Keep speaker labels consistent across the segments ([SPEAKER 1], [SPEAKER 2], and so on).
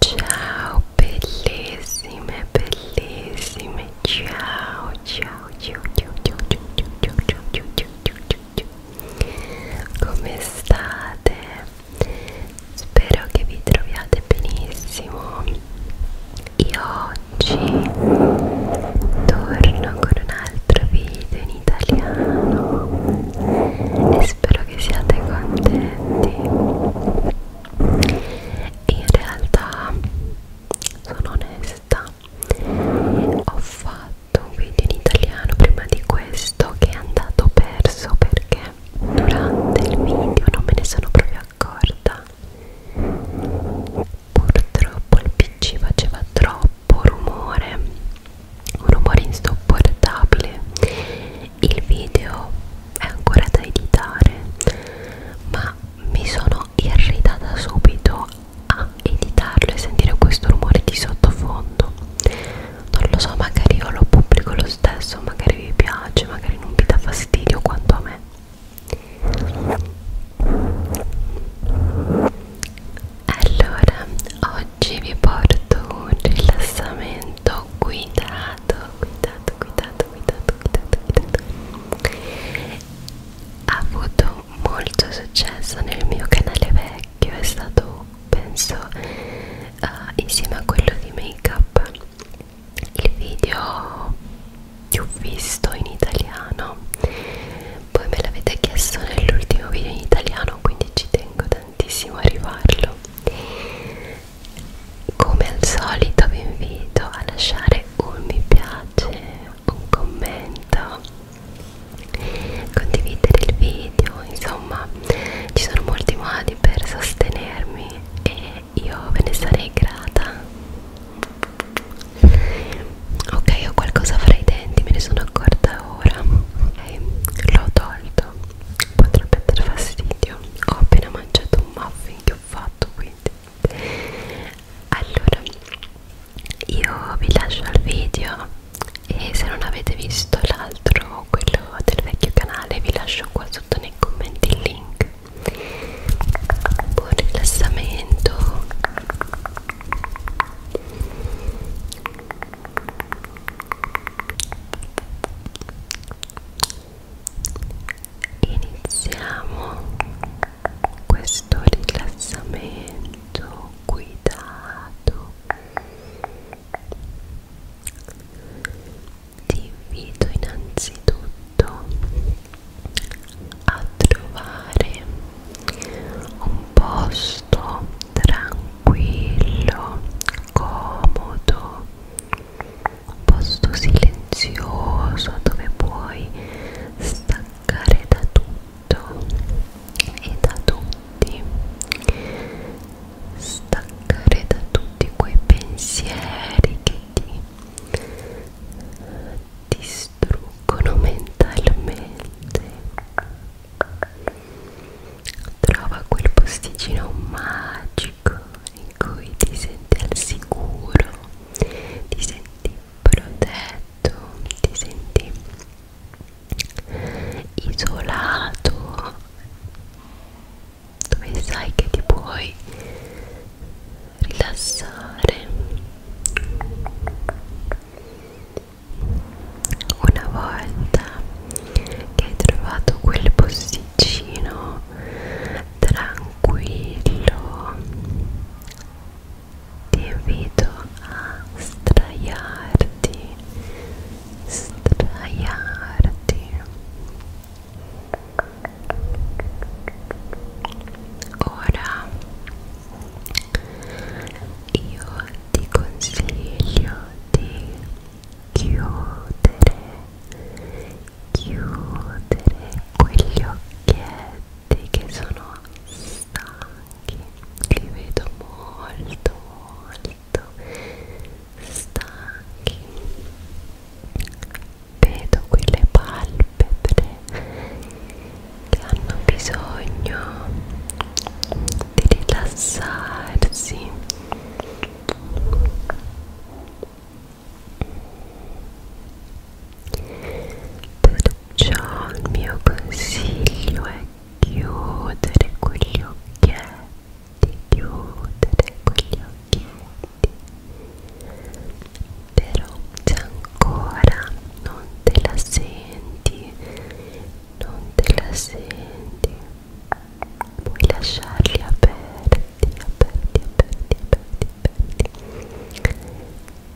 [SPEAKER 1] Ciao bellissime, bellissime, ciao, ciao, ciao, ciao, ciao, ciao, ciao, ciao, ciao, ciao, ciao, ciao. Come state? Spero che vi troviate benissimo. Io oggi torno con un altro video in italiano e spero che siate contenti in realtà sono onesta ho fatto un video in italiano prima di questo che è andato perso perché durante il video non me ne sono proprio accorta purtroppo il pc faceva troppo troppo rumore un rumore insopportabile il video è ancora da editare ma mi sono irritata subito a editarlo e sentire questo rumore di sottofondo non lo so magari io lo pubblico lo stesso magari vi piace magari non vi dà fastidio quanto a me allora, oggi vi porto un rilassamento guidato, guidato, guidato, guidato, guidato, guidato. Ha avuto molto successo nel mio canale vecchio, è stato, penso, uh, insieme a quello di make up, il video più visto in italiano poi me l'avete chiesto nell'ultimo video in italiano, quindi ci tengo tantissimo a rifarlo. Come al solito vi invito a lasciare un mi piace, un commento, condividere il video, insomma ci sono molti modi per sostenermi e io ve ne sarei grata ok ho qualcosa fra i denti me ne sono accorta ora okay. l'ho tolto potrebbe dar fastidio ho appena mangiato un muffin che ho fatto quindi allora io vi lascio al video e se non avete visto l'altro quello del vecchio canale vi lascio qua sotto nei commenti il link buon rilassamento Iniziamo questo rilassamento guidato. Ti invito innanzitutto a trovare un posto tranquillo, comodo, un posto silenzioso dove puoi staccare da tutto e da tutti, staccare da tutti quei pensieri che ti ti distruggono mentalmente trova quel posticino magico in cui ti senti al sicuro ti senti protetto ti senti isolato dove sai che ti puoi rilassare una volta che hai trovato quel posticino tranquillo ti invito a straiarti straiarti ora io ti consiglio di chiudere chiudere quegli occhietti che sono stanchi li vedo molto molto stanchi vedo quelle palpebre che hanno bisogno di rilassarsi perciò il mio consiglio è chiudere quegli occhietti chiudere quegli occhietti però c'è ancora non te la senti non te la senti puoi lasciarli aperti aperti aperti aperti aperti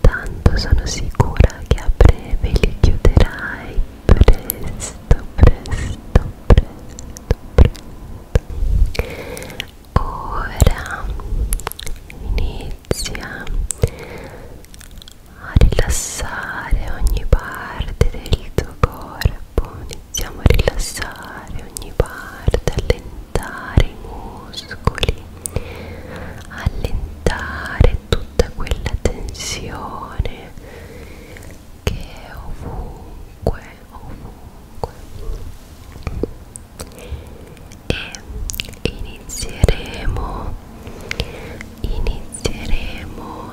[SPEAKER 1] tanto sono sicura che a breve li chiuderai presto presto presto presto Ora inizia a rilassare ogni parte del tuo corpo, iniziamo a rilassare ogni parte, allentare i muscoli, allentare tutta quella tensione che è ovunque, ovunque e inizieremo inizieremo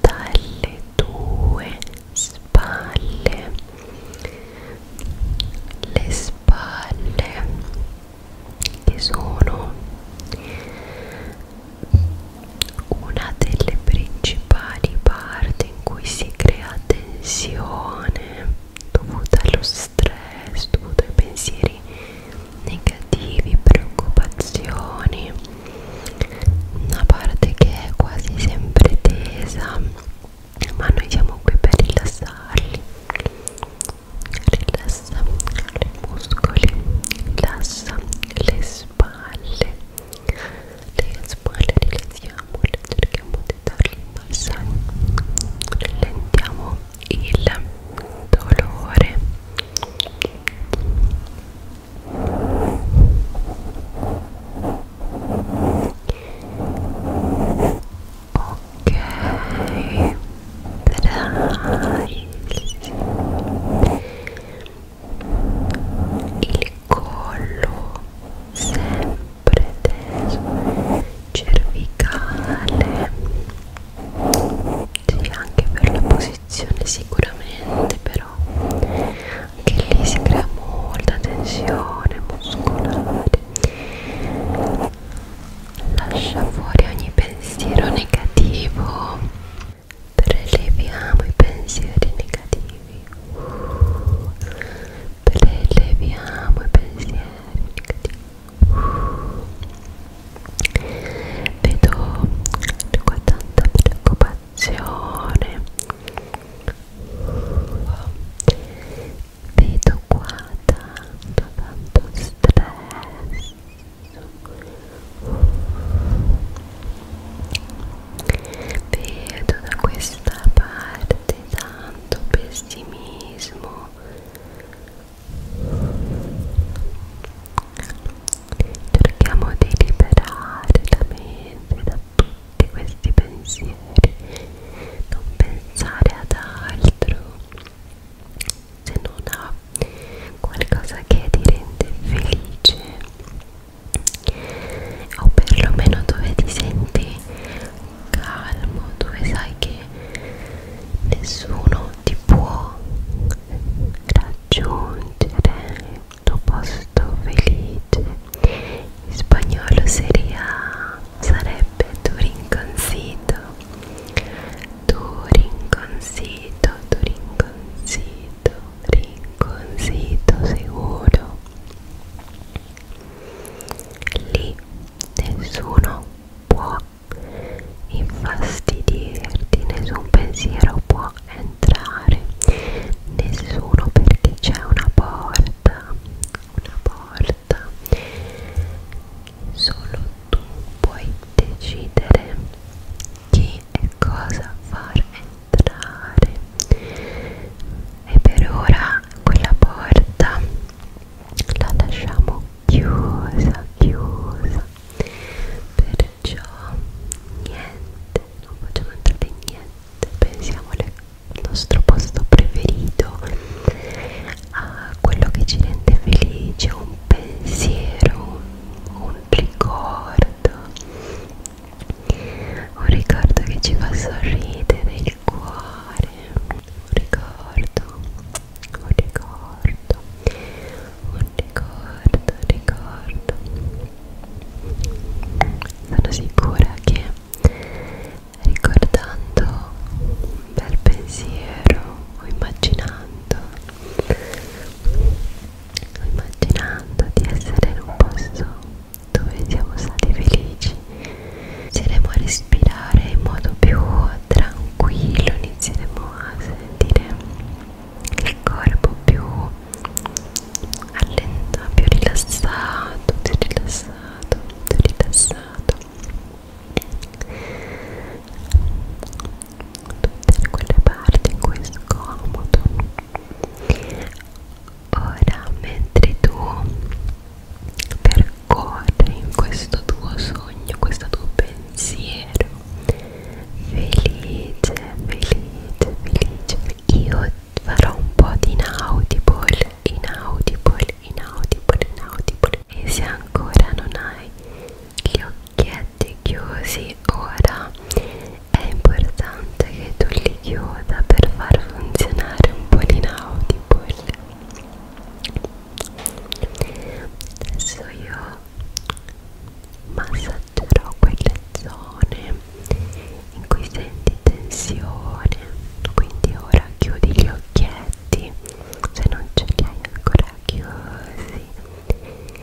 [SPEAKER 1] dalle tue spalle le spalle che sono una delle principali parti in cui si crea tensione dovuta allo stress, dovuta ai pensieri negativi, preoccupazioni, una parte che è quasi sempre tesa, ma noi siamo qui per rilassarli. Rilassa i muscoli, rilassa le spalle, le spalle rilassiamo, cerchiamo di dargli un balsamo rallentiamo il dolore ok dai il collo sempre preteso cervicale sì anche per la posizione sicuramente però anche lì si crea molta tensione muscolare lascia fuori ogni pensiero negativo preleviamo i pensieri negativi preleviamo i pensieri negativi vedo con tanta preoccupazione vedo qua tanto tanto stress Vedo da questa parte tanto pessimismo. Cerchiamo di liberare la mente da tutti questi pensieri, non pensare ad altro se non a qualcosa che ti rende felice o perlomeno dove ti senti calmo, dove sai che nessuno ti può raggiungere il tuo posto felice. In spagnolo seria, sarebbe tu rinconzito, tu rinconzito, tu rinconzito, rinconzito seguro Lì nessuno può infastidirti, nessun pensiero può entrare, nessuno perché c'è una porta, una porta. Solo tu puoi decidere chi e cosa far entrare e per ora quella porta la lasciamo chiusa chiusa perciò niente non facciamo entrare niente pensiamo al nostro posto preferito a quello che ci rende felice un pensiero un ricordo un ricordo che ci fa sorridere il cuore un ricordo un ricordo un ricordo un ricordo sono sicura che ricordando un bel pensiero o immaginando Sto immaginando di essere in un posto dove siamo stati felici. Inizieremo a respirare in modo più tranquillo, inizieremo a sentire il corpo più allentato, più rilassato, più rilassato, più rilassato. Tutte quelle parti in cui è scomodo Ora, mentre tu percorri in questo tuo sogno, questo tuo pensiero, felice, felice, felice, io farò un po' di inaudible, inaudible, inaudible, inaudible. E se ancora non hai gli occhi occhietti chiusi ora è importante che tu li chiuda per far funzionare un po' l'inaudibile adesso io massaggerò quelle zone in cui senti tensione quindi ora chiudi gli occhietti se non ce li hai ancora chiusi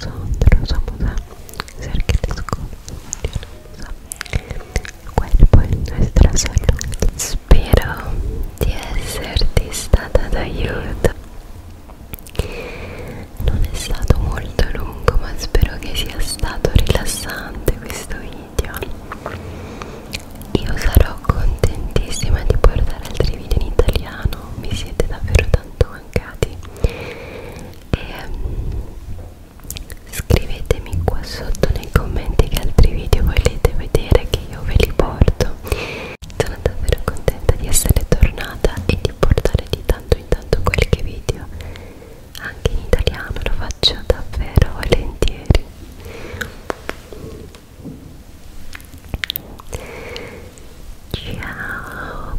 [SPEAKER 1] Sandra Samusa Sergilesco Cuerpo in nostra salute Spero di esserti stata d'aiuto Non è stato molto lungo ma spero che sia stato rilassante questo video Io sarò contentissima di portare altri video in italiano Mi siete davvero tanto mancati e ehm, scrivetemi qua sotto nei commenti che altri video volete vedere che io ve li porto sono davvero contenta di essere tornata e di portare di tanto in tanto qualche video anche in italiano lo faccio davvero volentieri ciao